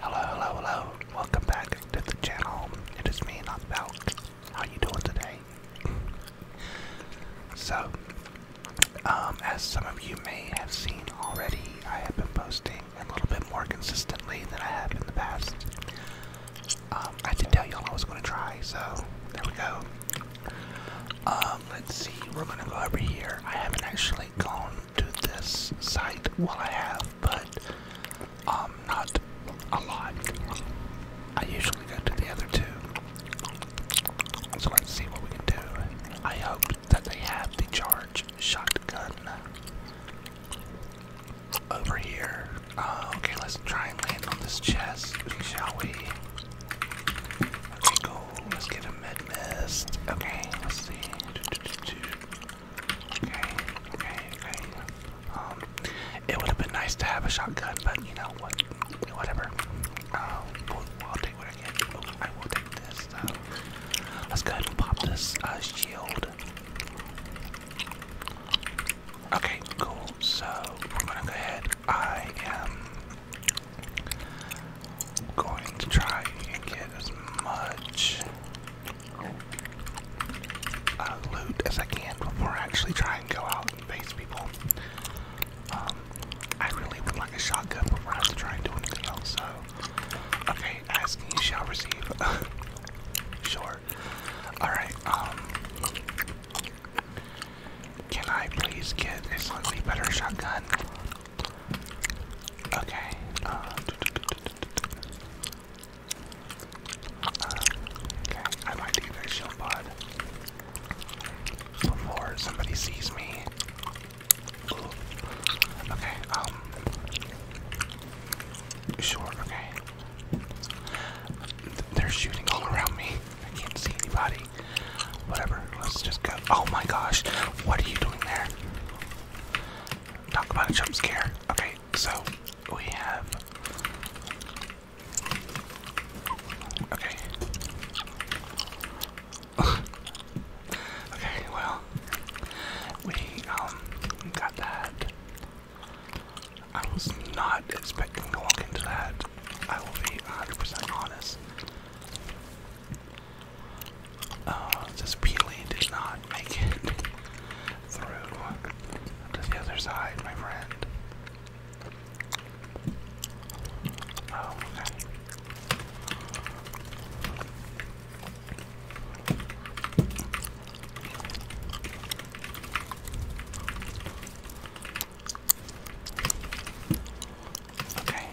Hello, hello, hello. Welcome back to the channel. It is me, not Valk. How you doing today? so, um, as some of you may have seen already, I have been posting a little bit more consistently than I have in the past. Um, I did tell y'all I was going to try, so there we go. Um, let's see, we're gonna go over here. I haven't actually gone to this site. Well, I have, but um, not a lot. I usually go to the other two. So let's see what we can do. I hope that they have the charge shotgun over here. Uh, okay, let's try and land on this chest, shall we? Okay, cool. Let's get a med mist. Okay, let's see. Okay, okay, okay. Um, it would have been nice to have a shotgun, but you know what? Whatever. Uh, um, I'll take what I will take this. let's go ahead and pop this uh, shield. Okay, cool. So we're gonna go ahead. I am going to try and get as much uh, loot as I can before I actually try and go out and face people. Um, I really would like a shotgun before I have to try and do anything else, so. Okay, asking you shall receive. sure. Alright, um, can I please get a slightly better shotgun? Okay. Uh, uh, okay, I might do their shield pod before somebody sees me. Okay, um, sure, okay. They're shooting all around me. I can't see anybody. Whatever, let's just go. Oh my gosh, what are you doing there? Talk about a jump scare. Okay, so we have. Okay. okay, well, we um got that. I was not expecting to walk into that. I will be 100% honest. Uh, this peely did not make it through to the other side, my friend. Oh, Okay.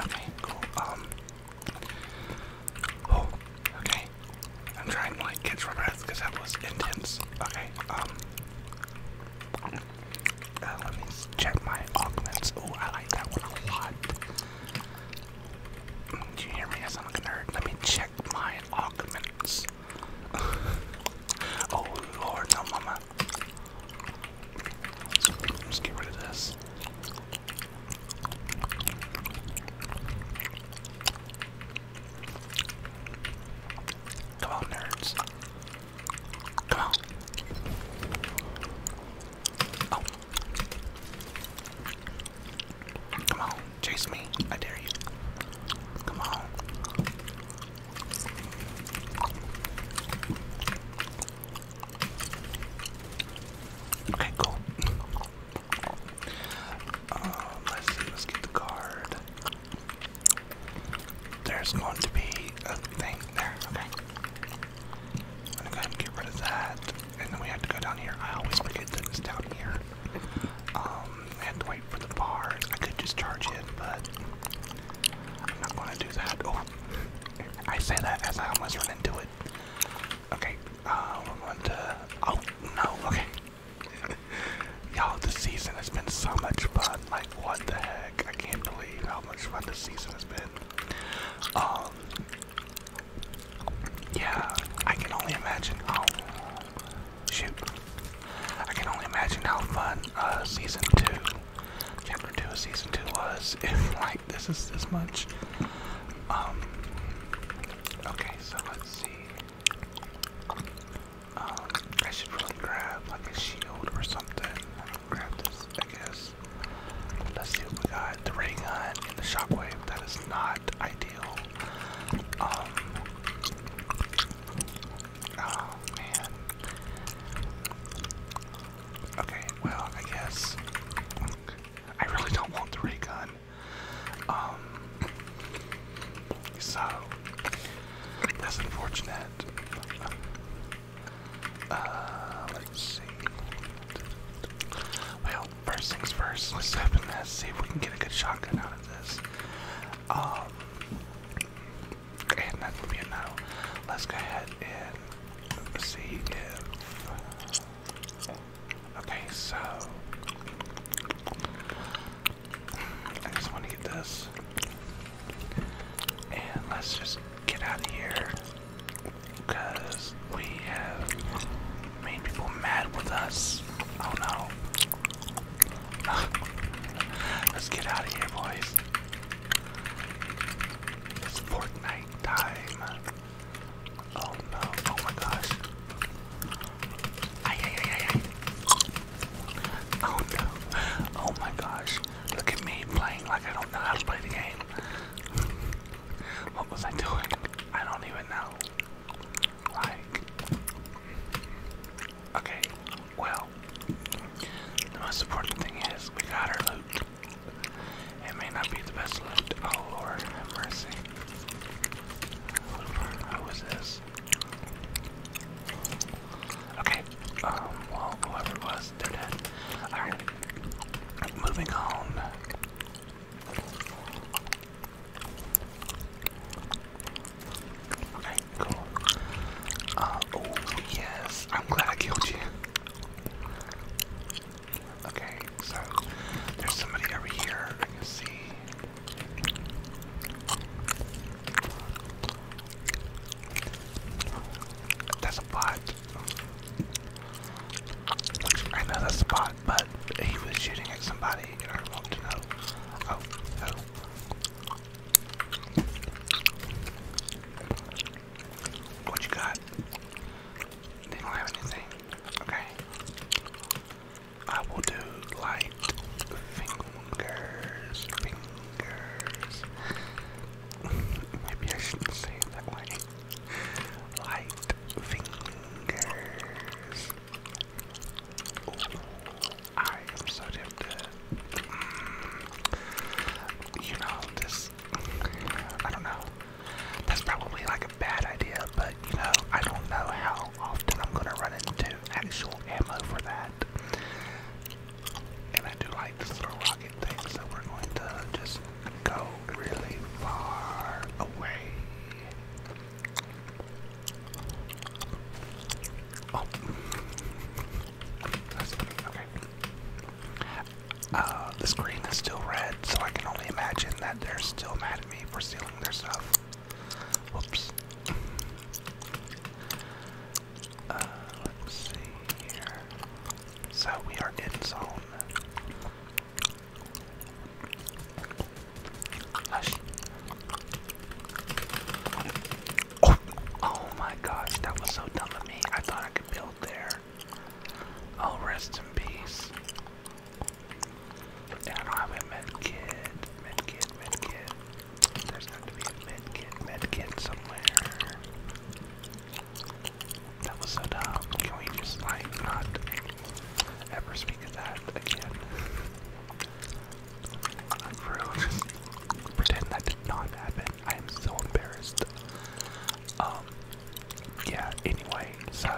Okay, cool. Um. Oh, okay. I'm trying to like catch my breath because that was intense. Okay, um. Uh, let me check my augments. Oh, I like that one a lot. Mm, do you hear me? I sound a nerd. Let me check my augments this. oh lord, no mama. Let's get rid of this. Come on, nerds. Come on. Oh. Come on, chase me. I dare you. Come on. Okay, cool. Uh, let's get the card. There's going to be a thing there, okay. i get rid of that. And then we have to go down here. I always forget that down here. Um, I to wait for the bar. I could just charge it, but I'm not gonna do that. Oh, I say that as I almost run into it. Okay, uh, we're going to. Oh no, okay. Y'all, this season has been so much fun. Like, what the heck? I can't believe how much fun this season has been. Um, yeah, I can only imagine how Shoot. I can only imagine how fun season two, chapter two of season two was if like this is this much. Um, okay, so let's see. Um, I should really grab like a shield or something. Grab this, I guess. Let's see what we got. The ray gun the shockwave. That is not ideal. Um, Oh man. Okay, well, I guess I really don't want the ray Um, so that's unfortunate. Uh, let's see. Well, first things first, let's open this, see if we can get a good shotgun out of this. Um, and that would be a Let's go ahead and see if. Okay, so. I just want to get this. And let's just get out of here. Because we have made people mad with us. Oh no. Let's get out of here, boys. It's Fortnite time. Oh no. Oh my gosh. Ay, ay, ay, ay. Oh no. Oh my gosh. Look at me playing like I don't know how to play the game. what was I doing? I don't even know. Like, okay, well, the most important thing is we got our loot. It may not be the best loot. Oh Lord, have mercy. Who was this? Okay, um, well, whoever it was, they're dead. Alright, moving on. Okay, cool. Uh, oh, yes. I'm glad I killed you. Okay, so there's somebody over here. I can see. That's a bot. I know but he was shooting at somebody, in I want to know. Oh, oh. What you got? They not have anything. Okay. I will do light fingers, fingers. Maybe I shouldn't say that way. Light fingers. I am so damn dead. Mm, you know, this, I don't know. That's probably like a bad idea, but you know, I don't know how often I'm gonna run into actual ammo for that. And I do like this little rocket thing, so we're going to just go really far away. Oh, okay. Uh, the screen is still red, so I can only imagine that they're still mad at me for stealing their stuff. Whoops. Uh, let's see here. So we are in zone. Oh, oh, my gosh, that was so dumb of me. I thought I could build there. Oh, rest in peace. I don't have a med kit. Med kit, There's got to be a med kit, med kit somewhere. That was so dumb. Can we just, like, not ever speak of that again? Rude. Pretend that did not happen. I am so embarrassed. Um, yeah, anyway, so,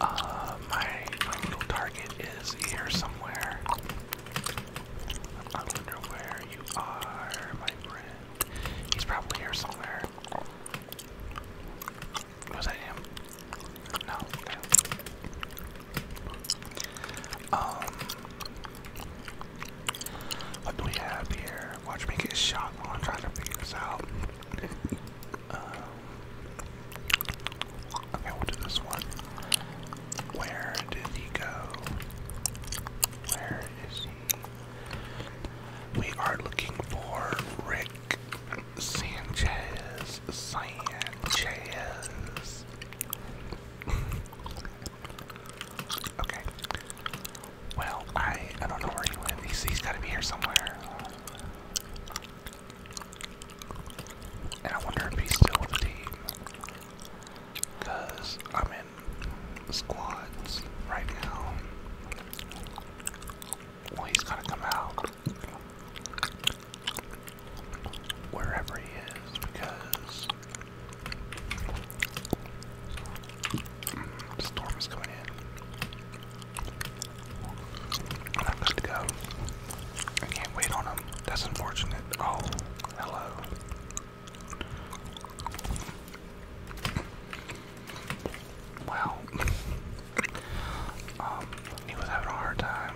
uh, my, my little target is here somewhere. I wonder where you are, my friend. He's probably here somewhere. Was that him? No. Um. What do we have here? Watch me get shot while I'm trying to figure this out. Um, okay, we'll do this one. Where did he go? Where is he? We are looking for Rick. Sanchez, Sanchez. okay. Well, I I don't know where he went. he's got to be here somewhere. And I wonder if he's still with the I'm in squads right now. Well, he's gonna come out wherever he is because storm is coming in. I'm to go. I can't wait on him. That's unfortunate. Oh, hello well, um, he was having a hard time.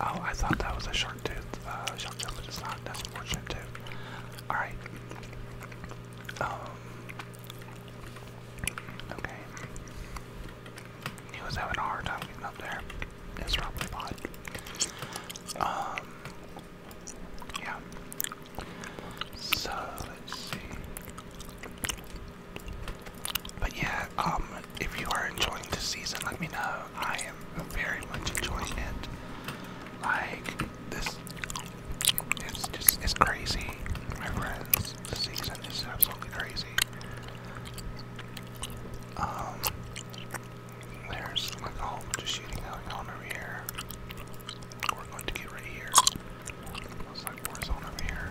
Oh, I thought that was a shark tooth, uh, shark tooth, but it's not. That's unfortunate too. All right. Um. Okay. He was having a hard time getting up there. It's probably pod. Um. Yeah. So let's see. But yeah, um, if you are enjoying this season, let me know. I am very much enjoying it. Like this, it's just it's crazy, my friends. The season is absolutely crazy. Um, there's like a whole bunch of shooting going on over here. We're going to get right here. Looks like Warzone over here.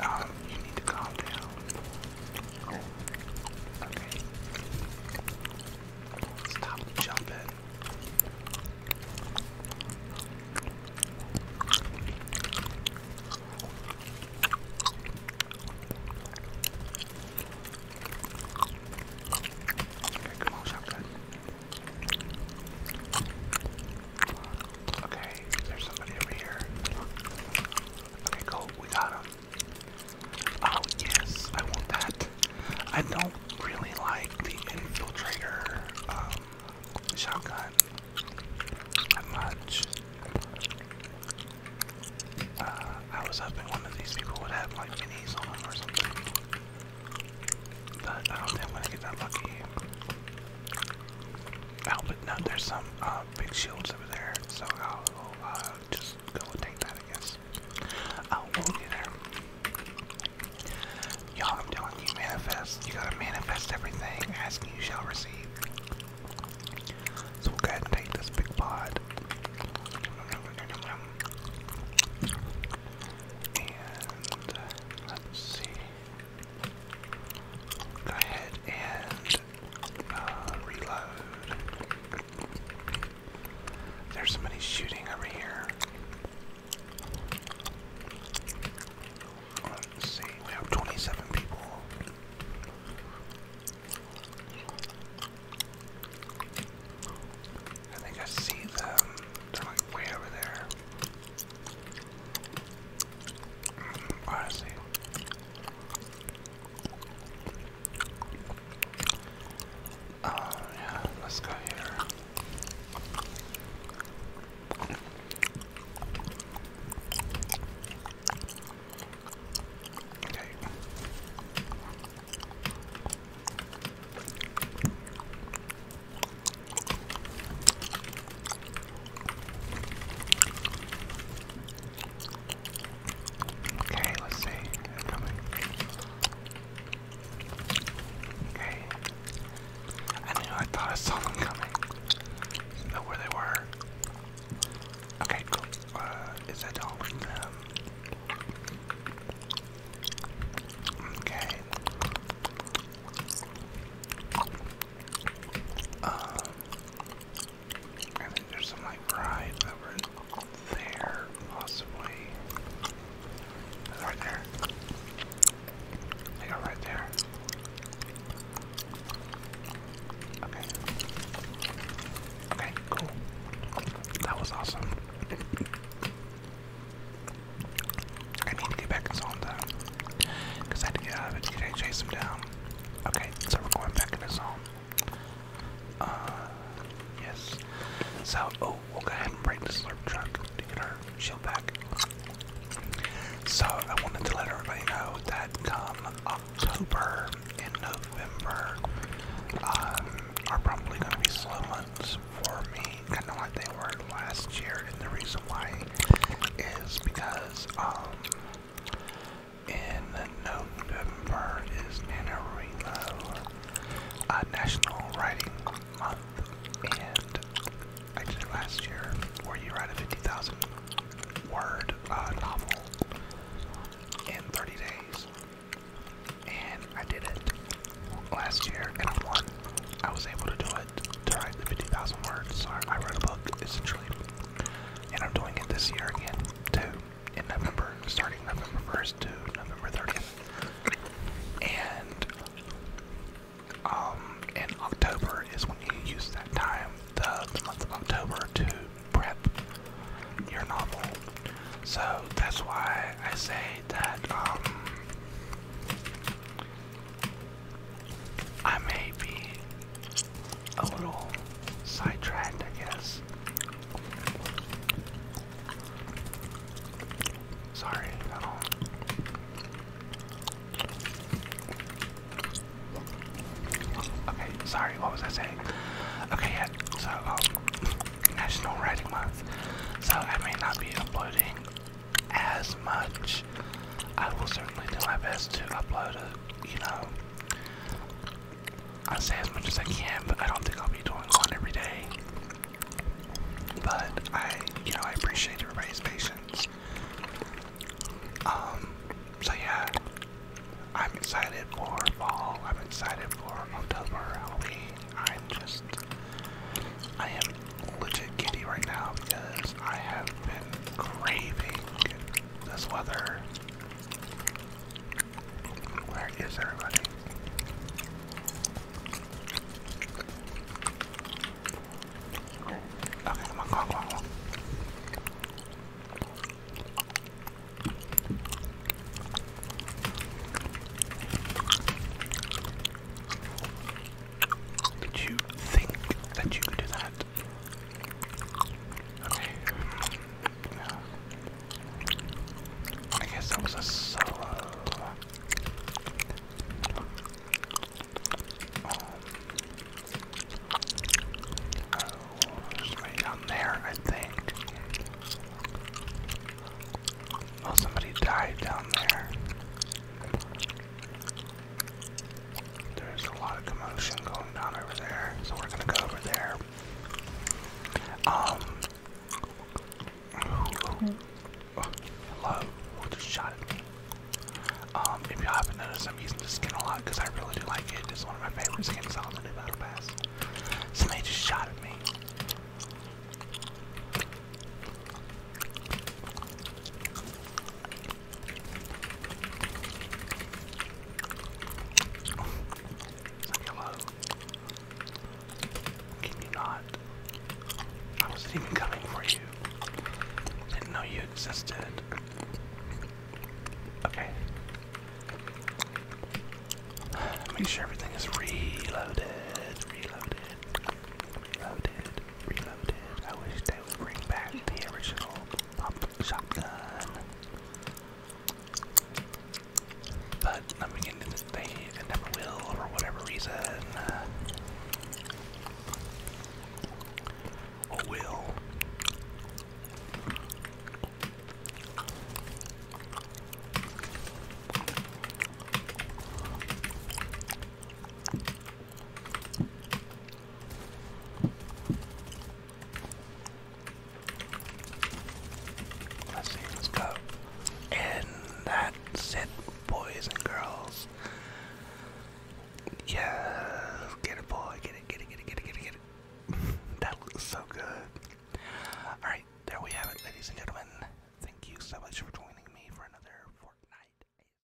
Um, you need to calm down. Okay. Stop jumping. Okay, come on, shotgun. Okay, there's somebody over here. Okay, cool, we got him. Oh, yes, I want that. I don't really like the infiltrator um, shotgun that much. Uh, I was hoping one of these people would have like minis on them or something. But I don't think I'm gonna get that lucky. Oh, but no, there's some uh, big shields over there, so I'll uh, just go and take that, I guess. Oh, we'll get there. Y'all, I'm telling you, manifest. You gotta manifest everything. Ask and you shall receive. So we'll go ahead and take this big pod. And uh, let's see. Go ahead and uh, reload. There's somebody shooting over here. Let's see, we have 27 people. I think I see them. they over there. Honestly. Um, uh, yeah, let's go here. Okay. Okay, let's see. coming. Okay. I knew I thought I saw them coming. know where they were. Okay, cool. Uh, is that all Okay. Um, I think there's some like ride over there, possibly. Right there. They go right there. Okay. Okay, cool. That was awesome. I need to get back in zone though. Because I had uh, to get out of chase him down. Okay, so we're going back in the zone. Uh, yes. So, oh, we'll go ahead and break the slurp truck to get her shield back. So, I wanted to let everybody know that come October and November um, are probably going to be slow months for me, kind of like they were last year, and the reason why is because um in November is uh, National Writing Month, and I did it last year where you write a 50,000 word uh, novel in 30 days. And I did it last year, and I won. I was able to do it to write the 50,000 words. So I wrote a book essentially, and I'm doing it this year again too in November, starting November 1st to November 30th, and um, in October is when you use that time, the, the month of October, to prep your novel. So that's why I say that um, I may be a little sidetracked, I guess. Sorry, Okay, sorry, what was I saying? Okay, yeah, so, um, National Writing Month. So I may not be uploading as much. I will certainly do my best to upload you know, I say as much as I can, but I don't think I'll be doing one every day. But I, you know, I appreciate everybody's patience. Um, so yeah, I'm excited for fall. I'm excited for October, I'm just, I am legit giddy right now because I have been craving this weather. Where is everybody? Okay, come on, come on, come on, did you think that you could do that? Okay. Yeah. I guess that was a solo. oh, there's down there, I think. Oh, somebody died down there. There's a lot of commotion going on over there, so we're gonna go over there. Um. hello. Oh, just shot at me. Um, if you haven't noticed, I'm using this skin a lot because I really do like it. It's one of my favorite skins on the Battle Pass. So Somebody just shot at me. Hello. Can you not? I wasn't even coming for you. Didn't know you existed. Okay. Make sure everything is reloaded, reloaded, reloaded. Reloaded. I wish they would bring back the original pump shotgun. But I'm beginning to think will for whatever reason. will. Let's see, let's go. And that's it, boys and girls. Yeah, get it, boy, get it, get it, get it, get it, get it, get it. that looks so good. Alright, there we have it, ladies and gentlemen. Thank you so much for joining me for another Fortnite.